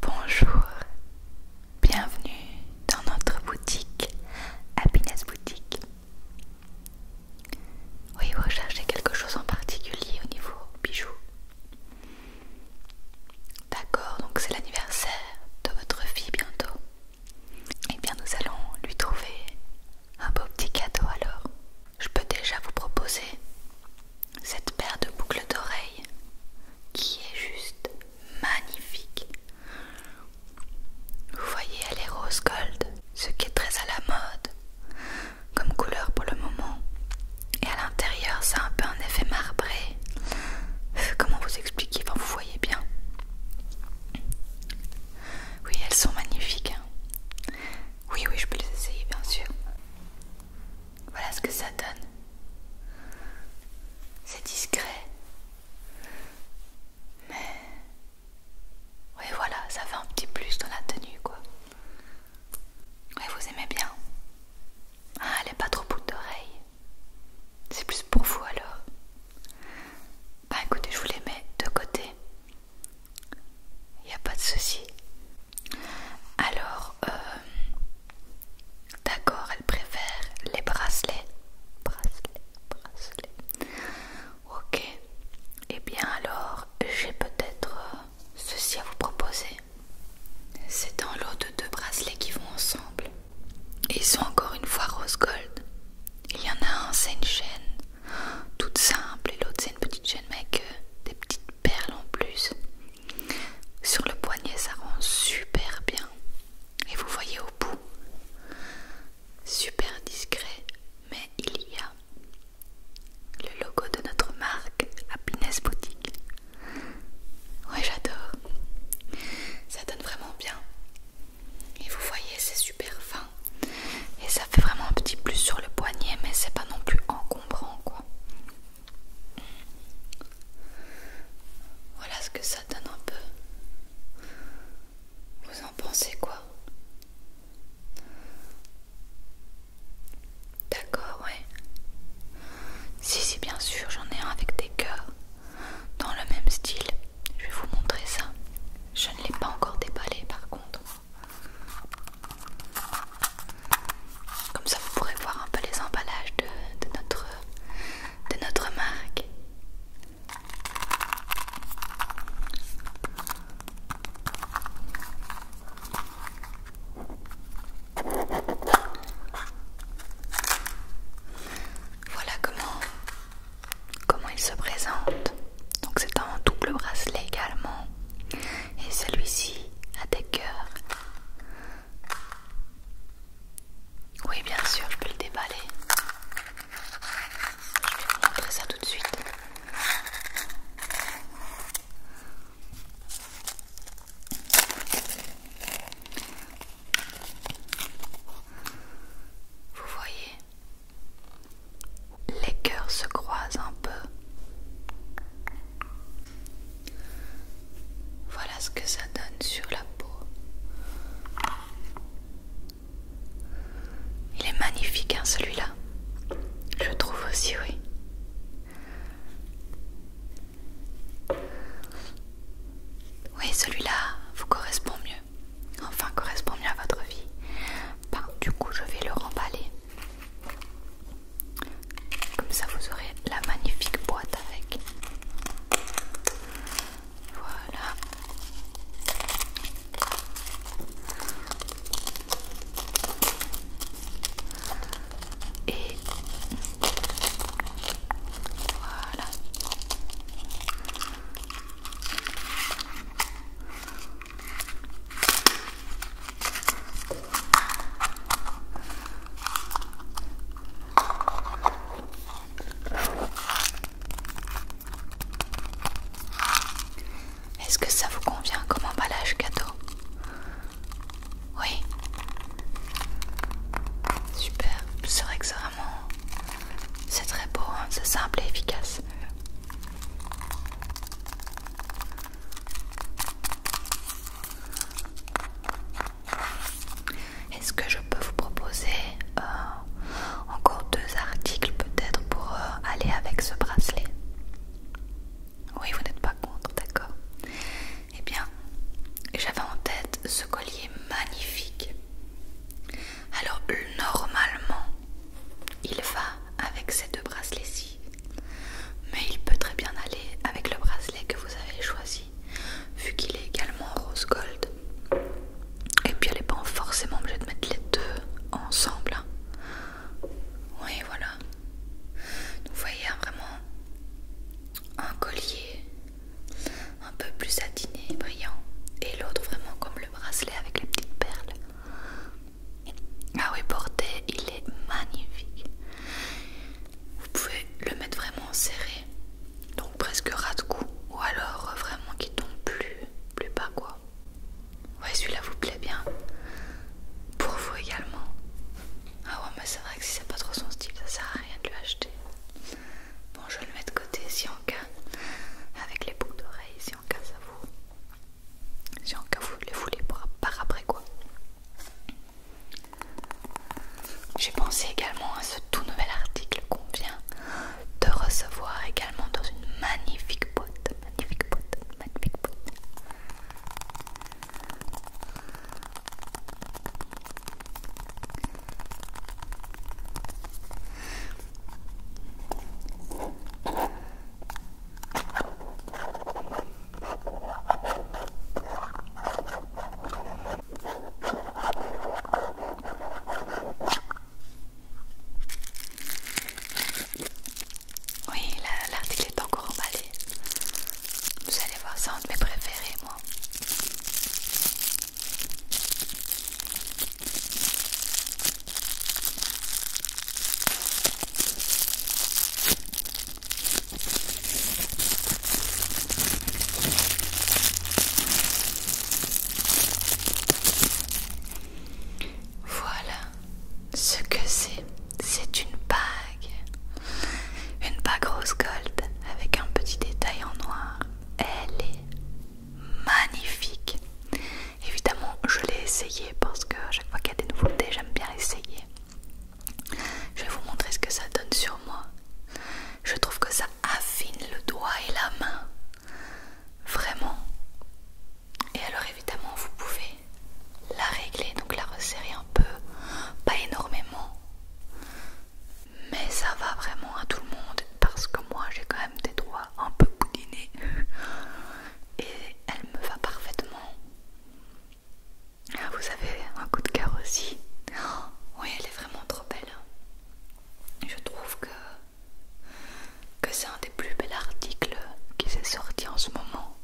Bonjour, bienvenue dans notre boutique Happiness Boutique. Oui, vous recherchez quelque chose en particulier au niveau bijoux. D'accord, donc c'est l'anniversaire de votre fille bientôt. Eh bien, nous allons lui trouver un beau petit cadeau alors. Je peux déjà vous proposer cette paire de boucles d'oreilles qui est juste magnifique. Vous voyez, elle est rose gold, ce qui est très à la mode comme couleur pour le moment. Et à l'intérieur, ça a un peu un effet marbré. Euh, comment vous expliquer Vous voyez bien. Oui, elles sont magnifiques. Hein. Oui, oui, je peux les essayer, bien sûr. Voilà ce que ça donne. C'est discret. Mais... Oui voilà, ça fait un petit plus dans la tenue quoi. Oui vous aimez bien. Ah elle n'est pas trop bout d'oreille. C'est plus pour vous alors. Bah écoutez, je vous les mets de côté. Il n'y a pas de souci. Alors, euh, d'accord, elle préfère les bracelets. Bracelets, bracelets. Ok. Eh bien alors, j'ai peut-être euh, ceci à vous proposer. C'est un lot de deux bracelets qui vont ensemble. Ils sont encore une fois rose gold. Il y en a un, c'est une chaîne toute simple et l'autre c'est une petite chaîne mais avec euh, des petites perles en plus. Sur le poignet, ça rend super bien. Et vous voyez au bout, super discret, mais il y a le logo de notre marque Happiness Boutique. Ouais, j'adore. Ça donne vraiment bien. Et vous voyez, c'est super fin. Et ça fait vraiment un petit plus sur le poignet, mais c'est pas non plus encombrant quoi. Voilà ce que ça donne un peu. Vous en pensez quoi D'accord, ouais. Si, si, bien sûr, j'en ai un avec des cœurs. Dans le même style. Je vais vous montrer ça. Je ne l'ai pas encore déballé par contre. Comme ça, vous pourrez voir un peu les emballages de, notre, de notre marque. Voilà comment, comment il se présente. Donc c'est un double bracelet également. Et celui-ci a des cœurs. Oui, bien sûr, je peux le déballer. Je vais vous montrer ça tout de suite. Vous voyez, les cœurs se croisent un peu. Voilà ce que ça donne sur la peau. Il est magnifique, hein, celui-là. Je trouve aussi, oui. Oui, celui-là vous correspond mieux. Enfin, correspond mieux à votre vie. Bah, du coup, je vais le remballer. Comme ça, vous aurez la magnifique boîte avec. Voilà. Et voilà. Est-ce que ça vous convient comme emballage gâteau Oui. Super. C'est vrai que c'est vraiment... C'est très beau, hein. c'est simple et efficace. Est-ce que je peux vous proposer euh, encore deux articles peut-être pour euh, aller avec ce bracelet Oui, vous n'êtes pas contre, d'accord Eh bien, j'avais en tête ce collier magnifique. Alors, normalement, il va avec ces deux bracelets-ci. Mais il peut très bien aller avec le bracelet que vous avez choisi, vu qu'il est également rose gold. Et puis elle n'est pas forcément obligée de mettre les deux ensemble. Hein. Oui, voilà. vous voyez hein, vraiment un collier un peu plus satiné et brillant, et l'autre vraiment comme le bracelet avec les petites perles. Ah oui, porté, il est magnifique vous pouvez le mettre vraiment serré, donc presque ras de cou, ou alors euh, vraiment qu'il tombe plus, plus bas quoi. Ouais, celui-là vous plaît bien. Pour vous également. Ah ouais, mais c'est vrai que si c'est pas trop son style, ça sert à rien de lui acheter. Bon, je le mets de côté si en cas, avec les boucles d'oreilles, si en cas ça vous. Si en cas vous les voulez par après quoi. J'ai pensé également à ce tout nouvel article qu'on vient de recevoir également dans une magnifique boîte, magnifique boîte, magnifique boîte. Oui, l'article est encore emballé. Vous allez voir, c'est un de mes préférés, moi. Voilà ce que c'est. C'est une bague. Une bague rose gold avec un petit détail en noir. Elle est magnifique. Évidemment, je l'ai essayée parce que chaque fois qu'il y a des nouveautés, j'aime bien essayer. Je vais vous montrer ce que ça donne sur moi. Je trouve que ça affine le doigt et la main. Vraiment. Et alors évidemment vous pouvez la régler, donc la resserrer un peu, pas énormément. Mais ça va vraiment à tout le monde parce que moi j'ai quand même des doigts un peu boudinés. Et elle me va parfaitement. Ah, vous avez un coup de cœur aussi. Oh, oui, elle est vraiment trop belle. Je trouve que, que c'est un des plus belles articles qui s'est sorti en ce moment.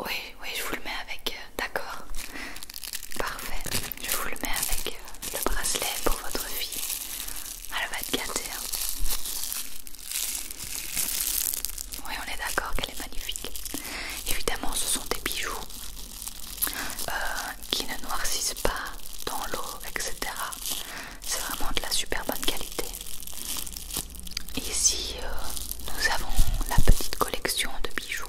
Oui, oui, je vous le mets avec. Euh, d'accord. Parfait. Je vous le mets avec euh, le bracelet pour votre fille. Ah, elle va être gâtée. Hein. Oui, on est d'accord qu'elle est magnifique. Évidemment, ce sont des bijoux euh, qui ne noircissent pas dans l'eau, etc. C'est vraiment de la super bonne qualité. Ici, euh, nous avons la petite collection de bijoux,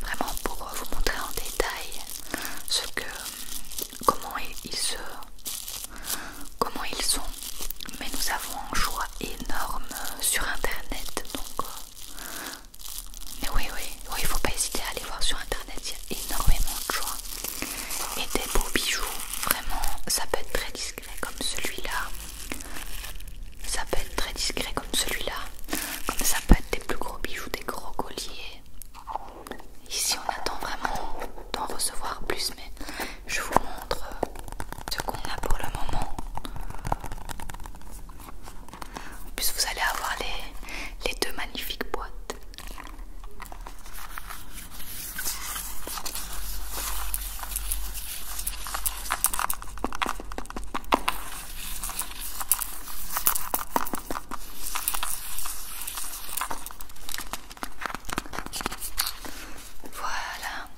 vraiment pour vous montrer en détail ce que, comment ils se comment ils sont. Mais nous avons un choix énorme sur internet. Donc, euh, mais oui, oui, il faut pas hésiter à aller voir sur internet. Il y a énormément de choix. Et des beaux bijoux, vraiment, ça peut être très discret comme celui-là. Ça peut être très discret comme celui-là. Comme ça peut être des plus gros bijoux, des gros colliers. Ici on attend vraiment d'en recevoir plus, mais je vous montre euh, ce qu'on a pour le moment. En plus, vous allez avoir les, les deux magnifiques boîtes. Voilà.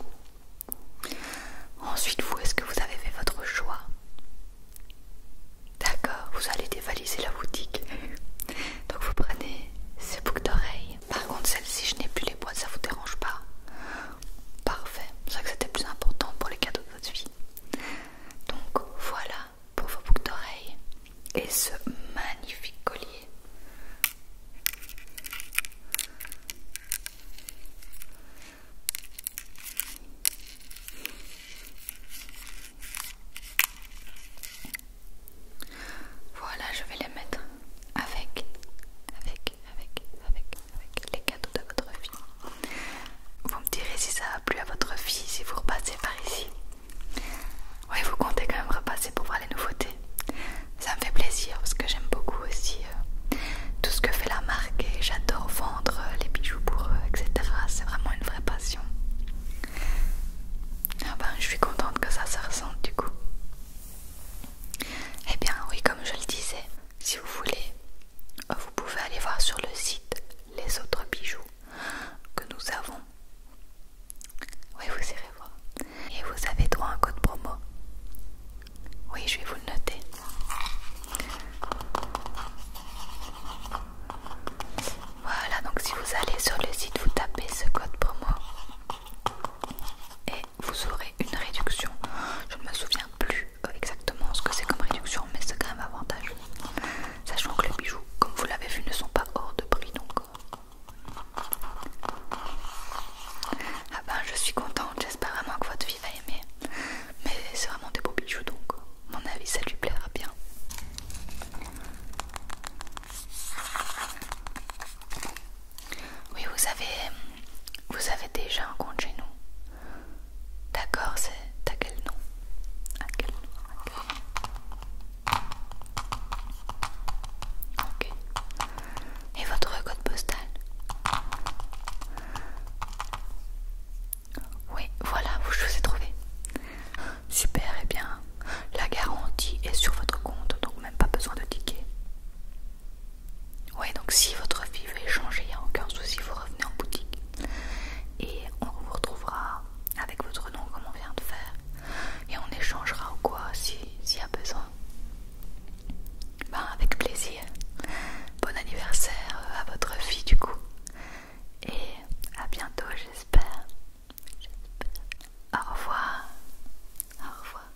Ensuite, vous, est-ce que vous avez fait votre choix D'accord, vous allez dévaliser la boutique. Donc vous prenez ces boucles d'oreilles. Par contre, celle-ci, je n'ai plus les boîtes, ça vous dérange pas Parfait, c'est vrai que c'était plus important pour les cadeaux de votre vie. Donc voilà pour vos boucles d'oreilles et ce magnifique collier voilà, je vais les mettre avec, avec, avec, avec, avec les cadeaux de votre fille. Vous me direz si ça a plu à votre fille si vous repassez par ici. Oui, vous comptez quand même repasser pour voir les nouveautés. Ça me fait plaisir parce que j'aime beaucoup aussi euh, tout ce que fait la marque et j'adore vendre euh, les bijoux pour eux, etc. C'est vraiment une vraie passion. Ah ben, je suis contente que ça se ressente du coup. Eh bien, oui, comme je le disais, si vous voulez, vous pouvez aller voir sur le site les autres bijoux que nous avons. Oui, vous irez voir. Et vous avez droit à un code promo. Oui, je vais vous le noter. Voilà, donc si vous allez sur le site, vous tapez ce code promo et vous aurez une réduction. Je ne me souviens plus exactement ce que c'est comme réduction, mais c'est quand même avantageux. Sachant que les bijoux, comme vous l'avez vu, ne sont pas hors de prix, donc ah ben je suis contente, j'espère vraiment que votre vie va aimer. Mais c'est vraiment des beaux bijoux donc, à mon avis ça lui plaira bien. Oui, vous avez, vous avez déjà un compte chez nous. D'accord, c'est à quel nom À quel nom Ok. Et votre code postal Oui, voilà, je vous ai trouvé. Super, et eh bien, la garantie est sur votre compte, donc même pas besoin de ticket. Oui, donc si votre fille veut échanger, il n'y a aucun souci, vous revenez en boutique. Et on vous retrouvera avec votre nom comme on vient de faire. Et on échangera ou quoi s'il y a besoin. Ben, avec plaisir. Bon anniversaire euh, à votre fille, du coup. Et à bientôt, j'espère. Au revoir. Au revoir.